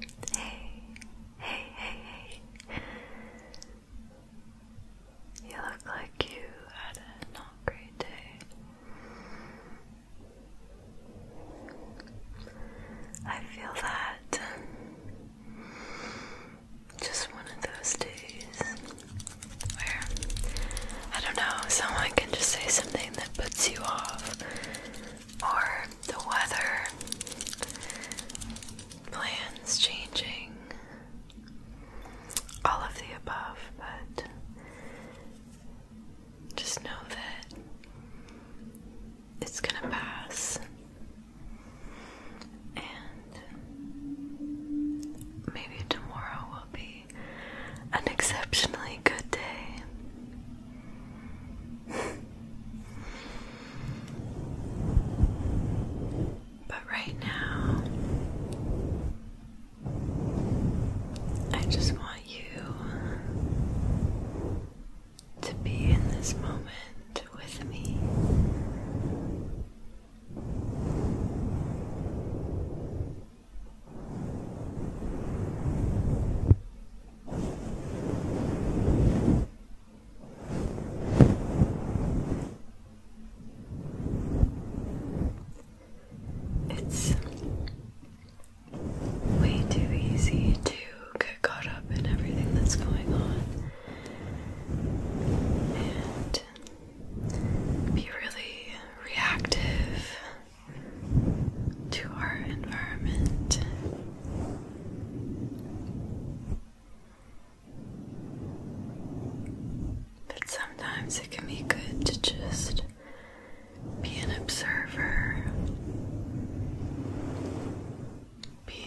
Hey, hey, hey, hey. You look like you had a not great day. I feel that. Just one of those days where, I don't know, someone can just say something that puts you off, or the weather, plans changing, all of the above, but just know that it's gonna pass and maybe tomorrow will be an exceptionally good day. But right now, I just want you to be in this moment with me. It's way too easy to get caught up in everything that's going on. And be really reactive to our environment. But sometimes it can be good to just be an observer, be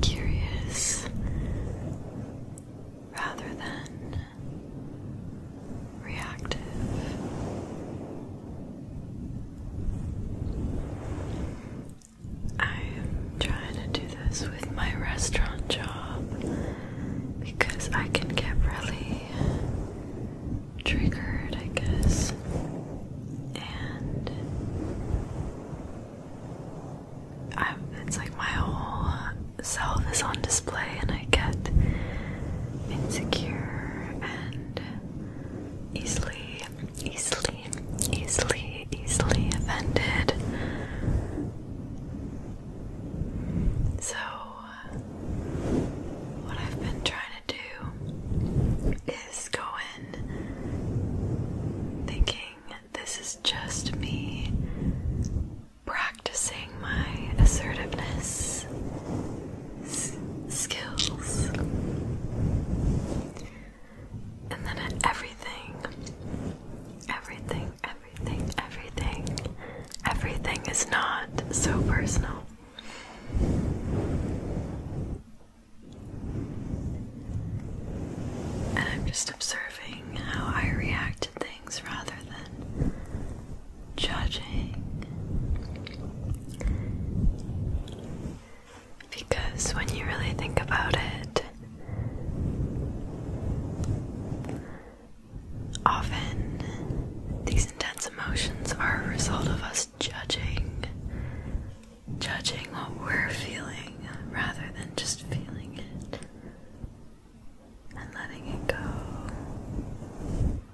curious rather than reactive. I'm trying to do this with my restaurant job because I can get really triggered, I guess, and I'm, it's like my whole self is on display, and I get insecure and easily, easily, easily, easily offended. So, what I've been trying to do is go in thinking this is just me practicing my assertiveness skills, and then everything, everything, everything, everything, everything is not so personal. And I'm just observing how I react to things rather than judging because when you really think about it, often these intense emotions are a result of us judging, judging what we're feeling rather than just feeling it and letting it go.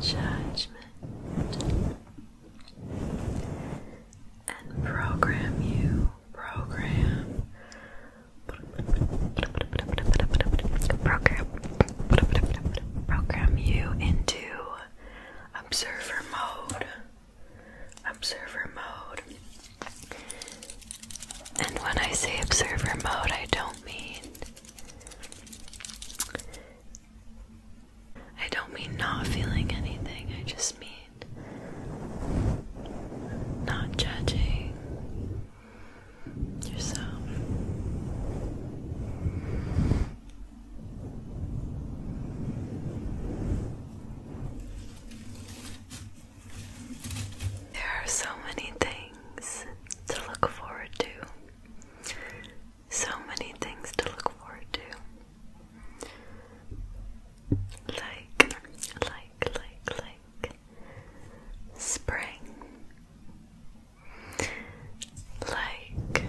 judgment, and program you, program, program, program you into observer mode, observer mode. And when I say observer mode, I don't mean I don't mean not feeling anything, I just mean not judging yourself. There are so many things to look forward to. So many things to look forward to. Like, like, like, like spring. Like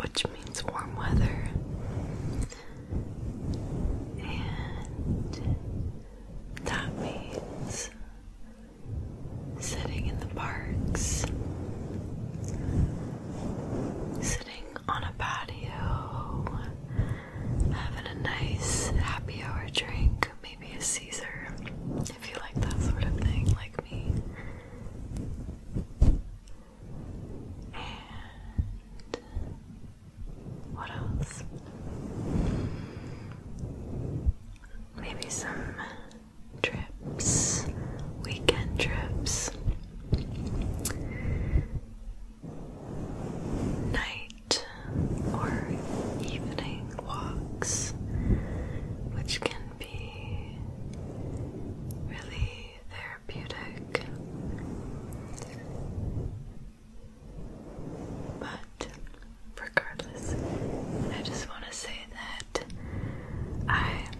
which means warm weather. And that means sitting in the parks, sitting on a patio, having a nice happy hour drink, maybe a Caesar if you like that sort of thing, like me. And what else? Maybe some trips, weekend trips, night or evening walks, which can be really therapeutic, but regardless, I just want to say that I'm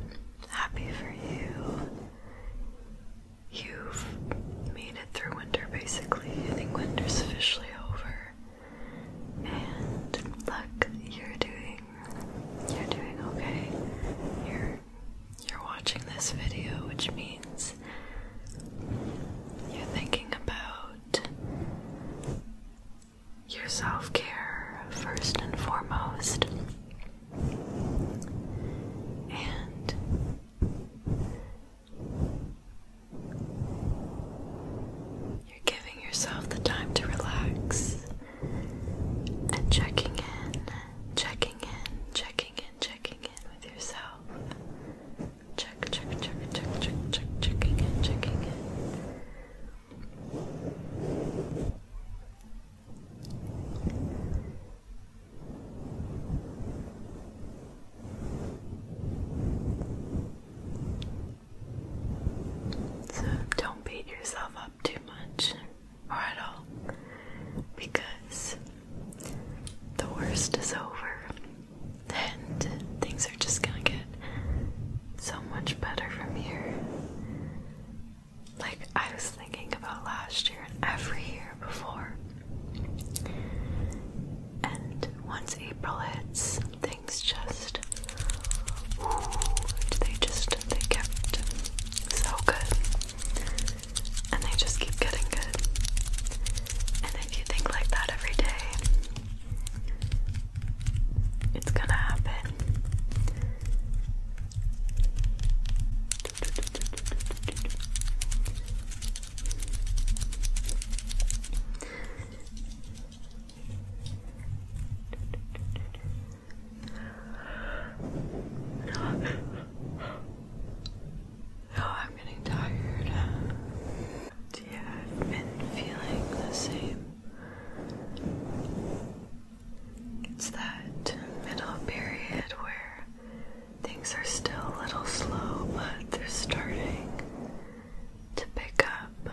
happy for you. You've made it through winter basically. I think winter's officially over. And look, you're doing you're doing okay. You're you're watching this video, which means you're thinking about your self care first and foremost. And you're giving yourself the time to relax and checking in, checking in, checking checking in, checking in with yourself. Check, check, check, check, check, check, checking in, checking in. So don't beat yourself up too much or all because the worst is over and things are just gonna get so much better from here. Like I was thinking about last year and every year before. And once April hits, things just they just they kept so good and they just keep getting good. And if you think like that every day, it's gonna happen. Oh, I'm getting tired. Yeah, I've been feeling the same. It's that middle period where things are still a little slow, but they're starting to pick up.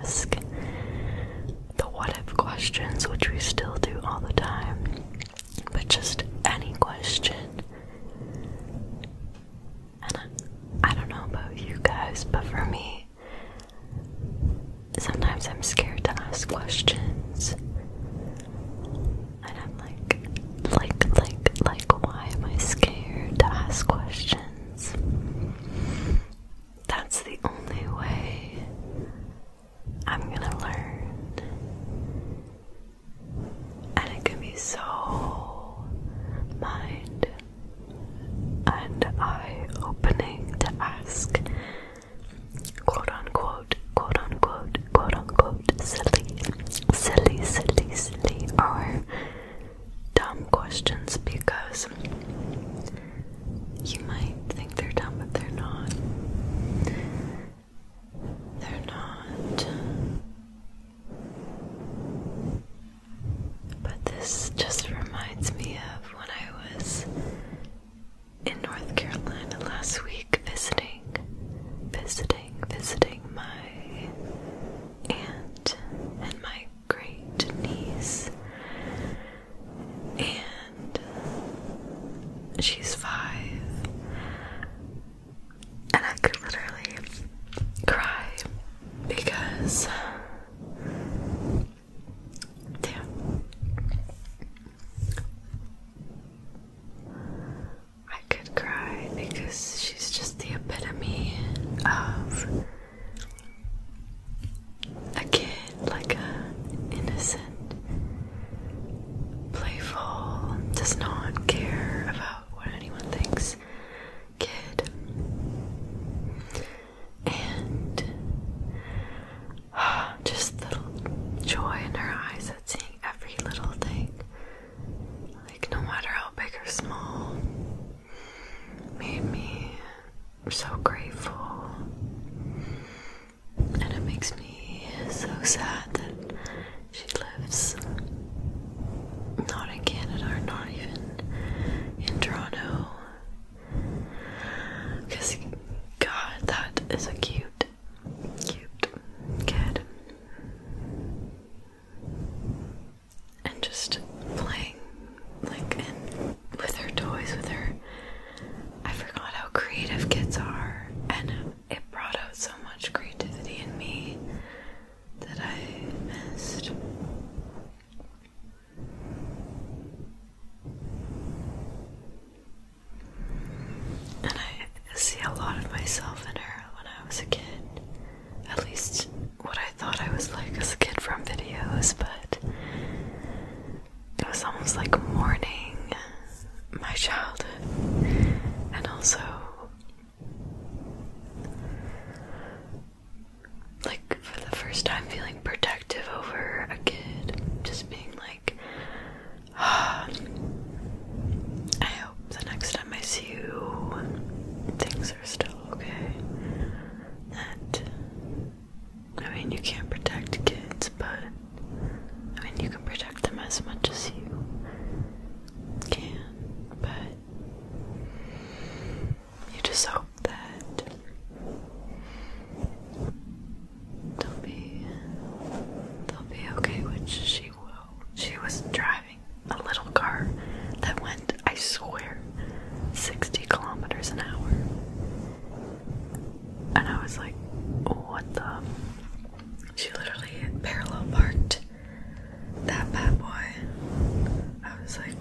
ask the what if questions, which we still do all the time, but just any question. And I, don't know about you guys, but for me, sometimes I'm scared to ask questions. And I'm like, like, like, like, why am I scared to ask questions? That's the only way I'm gonna learn. And it can be so mind and eye opening to ask quote unquote, quote unquote, quote unquote, silly, silly, silly, silly, or dumb questions because you might think they're dumb, but they're not. They're not. But this just reminds me of when I was in North Carolina last week visiting, visiting, visiting my aunt and my great niece, and she's five, and I could literally cry because. Damn. I could cry because she's just the epitome of a kid, like a innocent, playful, does not care about what anyone thinks kid. And just little joy in her eyes at seeing every little thing. Like, no matter how big or small, made me so grateful. And it makes me so sad that she lives not in Canada not even in Toronto. Because, God, that is a cute, cute kid and just playing like with her toys with her. I forgot how creative kids are, and it brought out so much creativity in me that I missed. And I see a lot of myself in her when I was a kid at least what I thought I was like as a kid from videos, but it was almost like mourning my childhood and also like for the first time feeling protective over a kid, just being like, ah, I hope the next time I see you, things are still okay? That I mean you can't protect kids, but I mean you can protect them as much as you can, but you just hope that they'll be they'll be okay, which she will she was driving a little car that went, I swear, 60 kilometers an hour. And I was like, what the? She literally parallel parked that bad boy. I was like,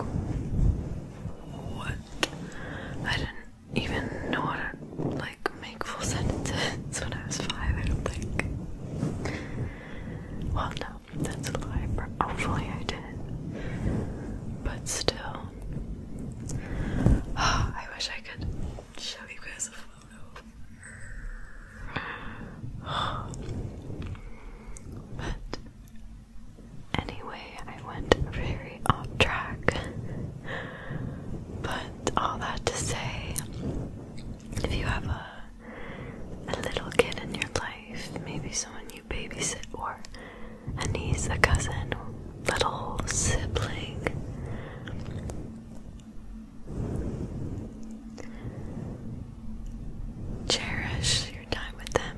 what? I didn't even know how to like make full sentences when I was five, I don't think. Well, no, that's what I hopefully I did. But still, I wish I could show you guys a photo. But anyway, I went very off track. But all that to say, if you have a a little kid in your life, maybe someone you babysit, or a niece, a cousin, little sibling. Cherish your time with them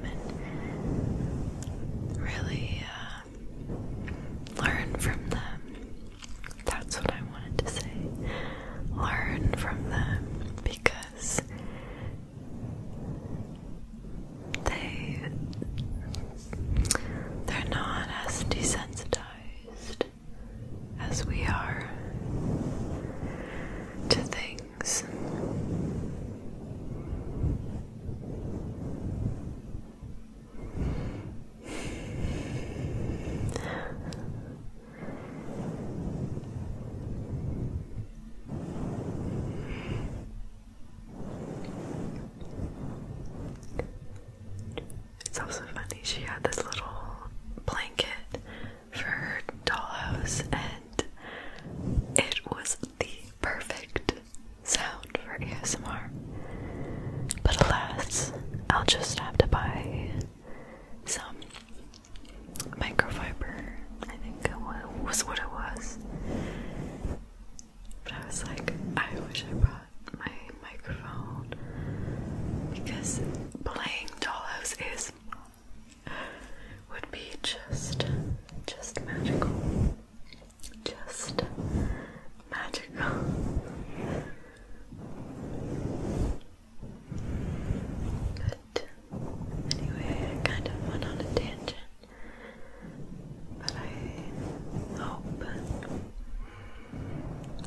and really uh, learn from them. That's what I wanted to say. Learn from them because they they're not as desensitized as we are to things. It's also funny, she had this little blanket for her dollhouse, and it was the perfect sound for ASMR. But alas, I'll just have to buy some microfiber, I think it was what it was. But I was like, I wish I brought my microphone because playing dollhouse is would be just just magical. Just magical. But anyway, I kind of went on a tangent. But I hope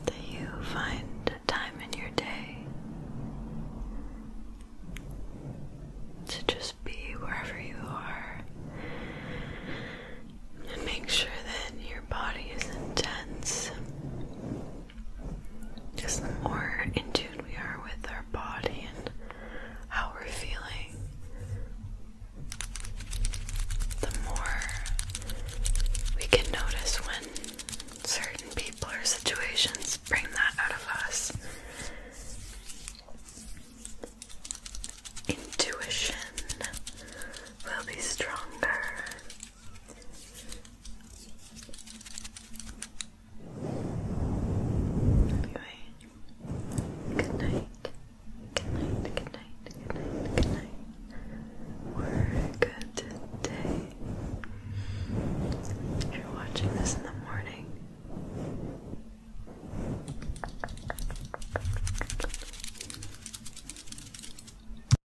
that you find time in your day to just be wherever you are and make sure that your body isn't tense just the more in tune we are with our body and how we're feeling, the more we can notice when certain people or situations bring that out of us. Intuition will be stronger. Anyway, good night. Good night, good night, good night, good night. We're good today. If you're watching this in the morning,